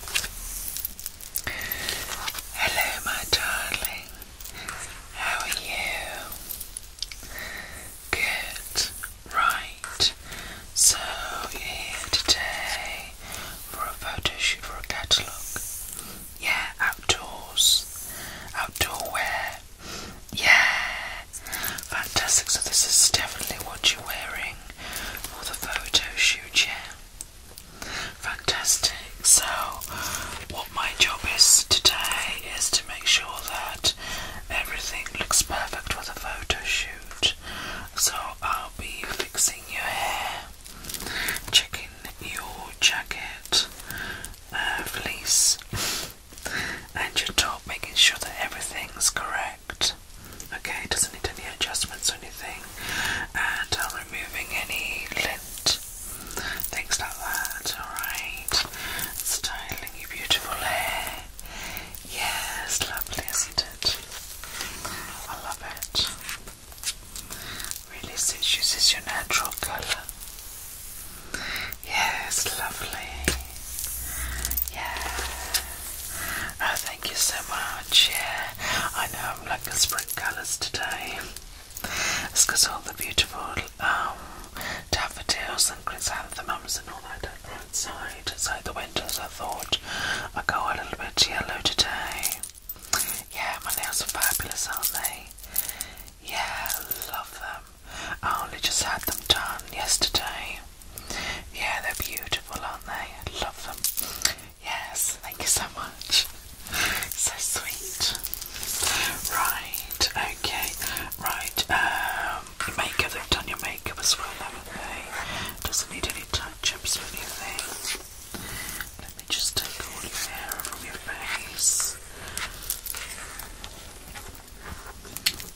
Hello, my darling. How are you? Good. Right. So you're here today for a photo shoot for a catalogue. Yeah, outdoors. Outdoor wear. Yeah. Fantastic. So this is definitely what you're wearing for the photo shoot, yeah. Fantastic. So, what my job is today is to make sure that everything looks perfect for the photo shoot. So, I'll be fixing your hair, checking your jacket, uh, fleece, and your top, making sure that everything's correct. Okay, it doesn't need any adjustments or anything. And I'm removing any lint, things like that. Alright, styling your beautiful hair. Yes, lovely, isn't it? I love it. Really suits you, this your natural colour. Yes, lovely. Yes. Oh, thank you so much. Yeah, I know I'm like the spring colours today. It's because all the beautiful um, daffodils and chrysanthemums and all that are outside. the winter, so I thought I'd go a little bit yellow today. Yeah, my nails are fabulous, aren't they? Yeah, love them. I only just had them done yesterday. Yeah, they're beautiful, aren't they? I love them. Yes, thank you so much. So sweet. Right, okay, right. Um, makeup, they've done your makeup as well, haven't they? Doesn't need any touch ups or anything. Let me just take all your hair from your face.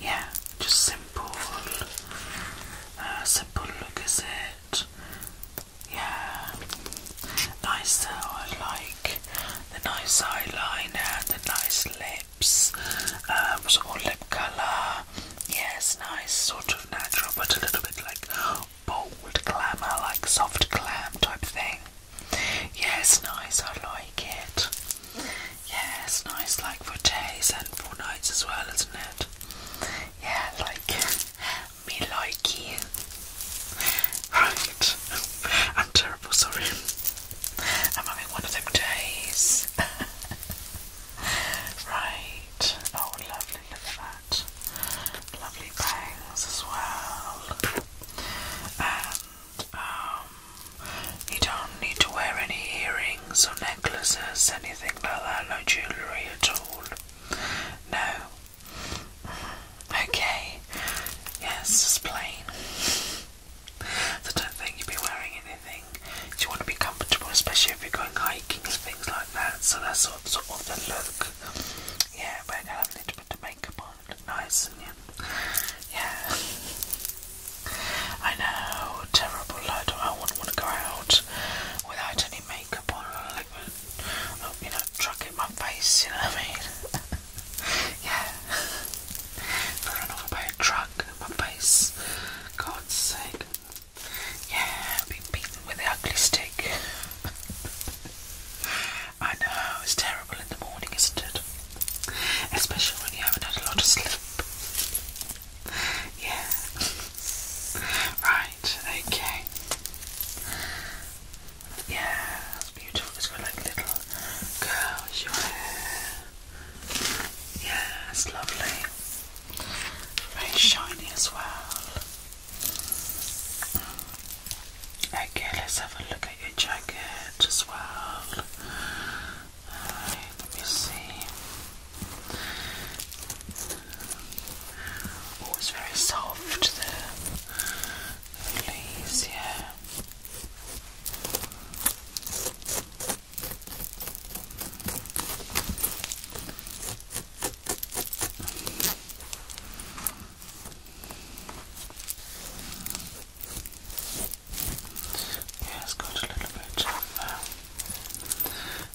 Yeah, just simple, uh, simple look as it. Yeah. Nice though, I like the nice eyeliner, the nice lips, um, some more lip colour. Yes, nice, sort of natural, but a little bit like bold glamour, like soft glam type of thing. Yes, nice, I like it. Yes, nice, like for days and for nights as well, isn't it? Yeah, like me like you. Right. I'm terrible, sorry. I'm having one of them days. right. Oh lovely, look Lovely bangs as well. And um you don't need to wear any earrings or necklaces, anything like that, no jewellery at all. No. Okay. Yes, just plain. So don't think you'd be wearing anything. You want to be comfortable, especially if you're going hiking and things like that. So that's sort sort of the look. Yeah, but I have a little bit of makeup on, look nice and yeah. yeah. I know, terrible. I, don't, I wouldn't want to go out without any makeup makeup on, like, oh, you know, truck in my face, you know what I mean? yeah. Run off by a truck in my face. God's sake. Yeah, being beaten with the ugly stick. I know, it's terrible in the morning, isn't it? Especially when you haven't had a lot of sleep. Yeah. right, okay. Yeah, that's beautiful. It's got like little curls, Yeah, it's lovely. Very shiny as well. Okay, let's have a look at your jacket as well. let me see. Oh, it's very soft, the, leaves, yeah. Yeah, it's got a little bit of uh,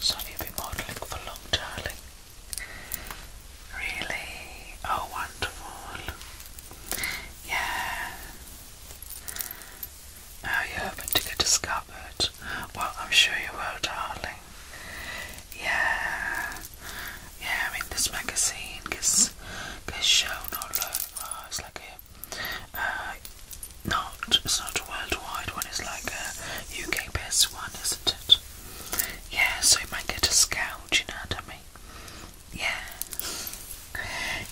So you've been modelling for long, darling. Really? Oh, wonderful. Yeah. Now you're hoping to get discovered. Well, I'm sure you will, darling. Yeah, yeah. I mean, this magazine gets gets shown it's like a uh, not it's not a worldwide one. It's like a UK based one, isn't it? Yeah. So you might get a scout. You know what I mean? Yeah.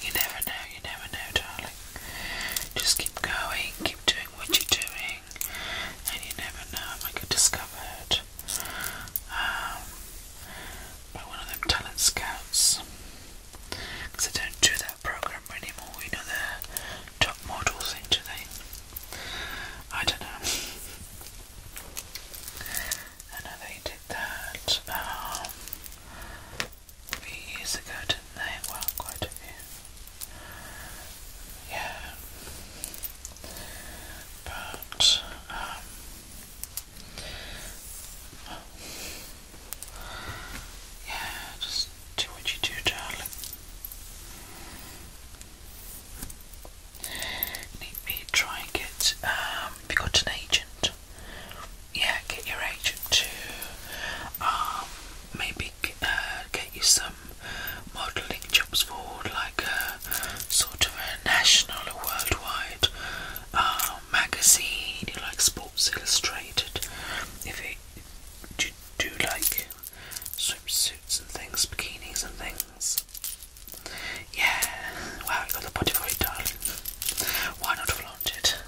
You never know. You never know, darling. Just keep going. Keep doing what you're doing, and you never know, I might get discovered. Um, one of them talent scouts, because I don't do that program anymore. You know the top models into they. I don't know. I know they did that um, a few years ago, did they? Well, quite a few. Yeah. But, um, yeah, just do what you do, darling. Need um, me try and get, um, have got an agent? Yeah, get your agent to, um, maybe uh, get you some modelling jobs forward, like a uh, sort of a national or worldwide uh, magazine, like Sports Illustrated. If you do like swimsuits and things, bikinis and things. Yeah, wow, you got the body for it, darling. Why not flaunt it?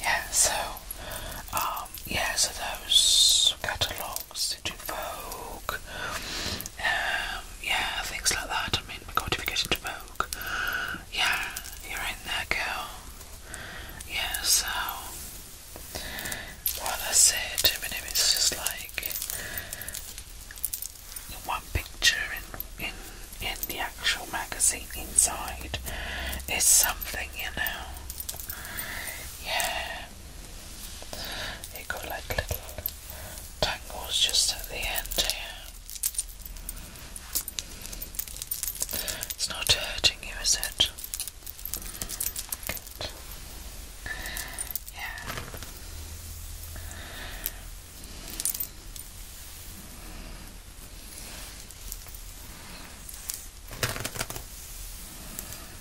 Yeah, so, um, yeah, so those catalogues. Vox, into Vogue, um, yeah, things like that. I mean, my god, if you get into Vogue, yeah, you're in there, girl. Yeah, so, what I said to him is just like the one picture in, in, in the actual magazine inside, is something, you know. Yeah there. got like little tangles just at the end here. It's not hurting you, is it? Yeah.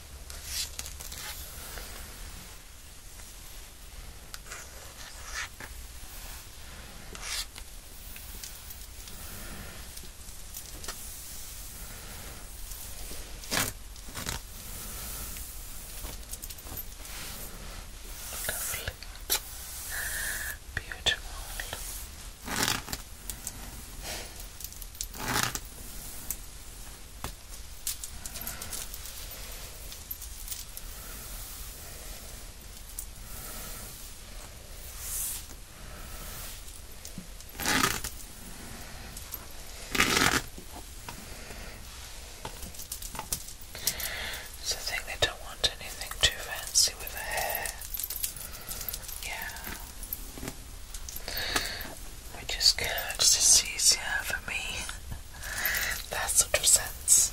Lovely, beautiful. So I think they don't want anything too fancy with the hair. Yeah. Which is good, just easier for me. that sort of sense.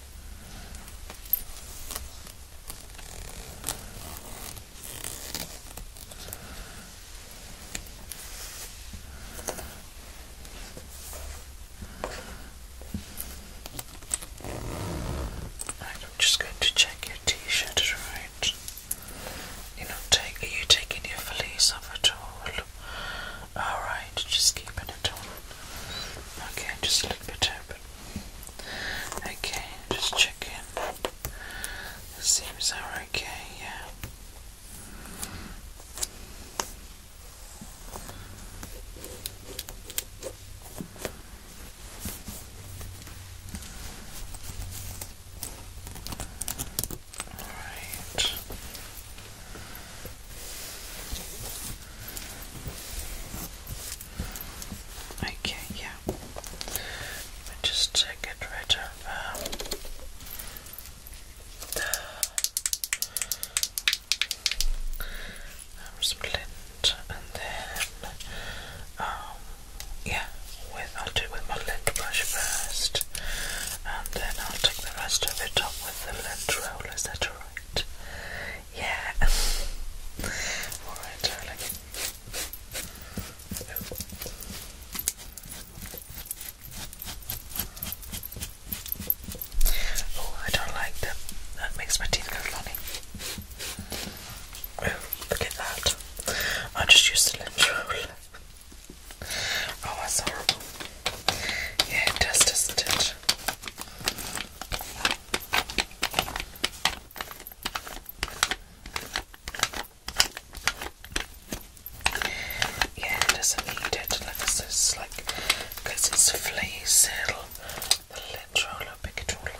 I'm just going to check your T-shirt, right? you know, take, are you taking your valise off at all? All right, just keeping it on. Okay, just leave it open. Okay, just checking. It seems are okay, yeah. All right. Okay, yeah. Let me just take it right over. Um, splint and then, um, yeah, with, I'll do it with my lint brush first, and then I'll take the rest of it up with the lint roller. Is that right? Yeah. Alright, darling. Oh, I don't like that. That makes my teeth go funny. Oh, look at that. I just used the lint roller. Oh, that's horrible. Yeah, it does, does yeah, doesn't need it. Like this is like it's a the lid roller pick it all up.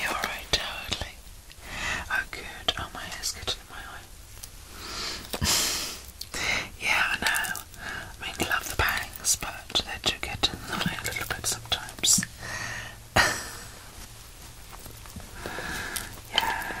You're right, totally. Oh, good. Oh, my hair's getting in my eye. yeah, I know. I mean, love the bangs, but they do get in the way a little bit sometimes. yeah.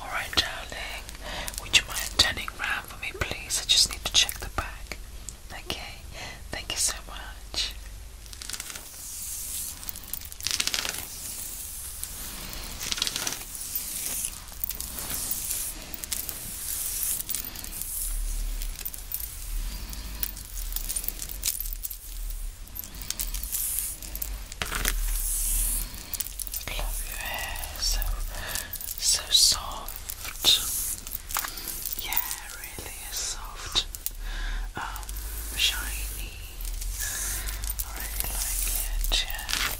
All right, darling. Would you turning round? for me, please? I just need to check the bag. Okay, thank you so much. Love your hair, so so soft. Yeah, really soft, um, shiny. I really like it.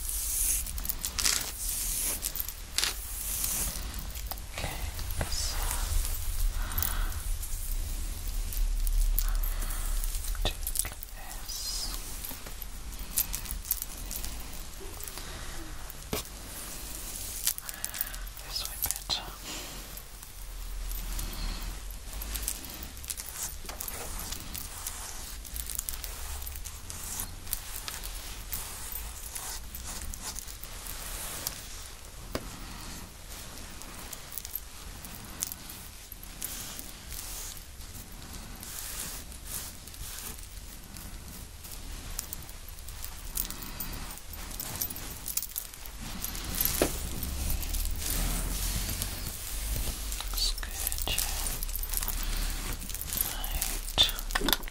Okay, so. Yes. This way better. Okay. That's good. Right.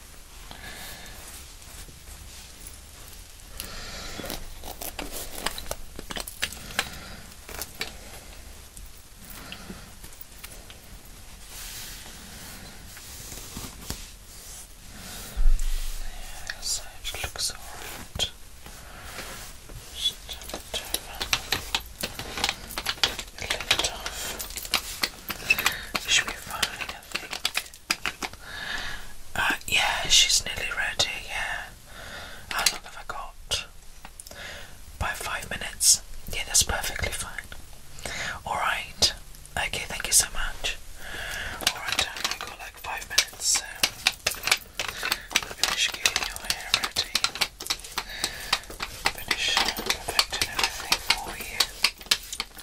Yeah, so it looks alright. Just turn it over. off. should be fine. Uh, yeah, she's nearly ready, yeah. How long have I got? By five minutes. Yeah, that's perfectly fine. Alright. Okay, thank you so much. Alright, I've got like five minutes, finish getting your hair ready. Finish perfecting everything for you.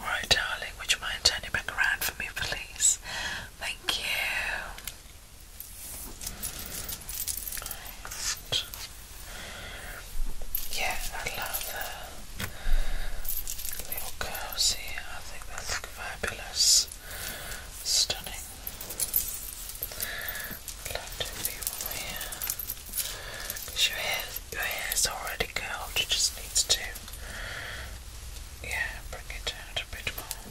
Right, darling, would you mind turning back around for me, please? Thank you. Yeah, I love the little curls here. I think they fabulous. Stunning. Lot of people here. Cause your hair, your hair is already curled. It just needs to, yeah, bring it out a bit more.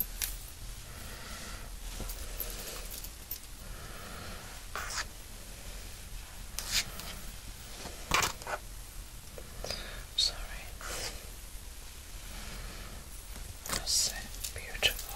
Sorry so beautiful.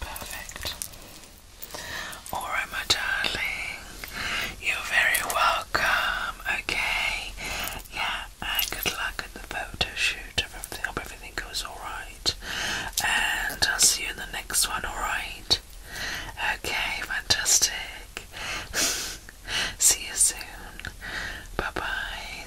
Perfect. All right, my darling. You're very welcome. Okay. Yeah. And good luck at the photo shoot. hope everything goes all right. And I'll see you in the next one. All right. Okay. Fantastic. see you soon. Bye bye.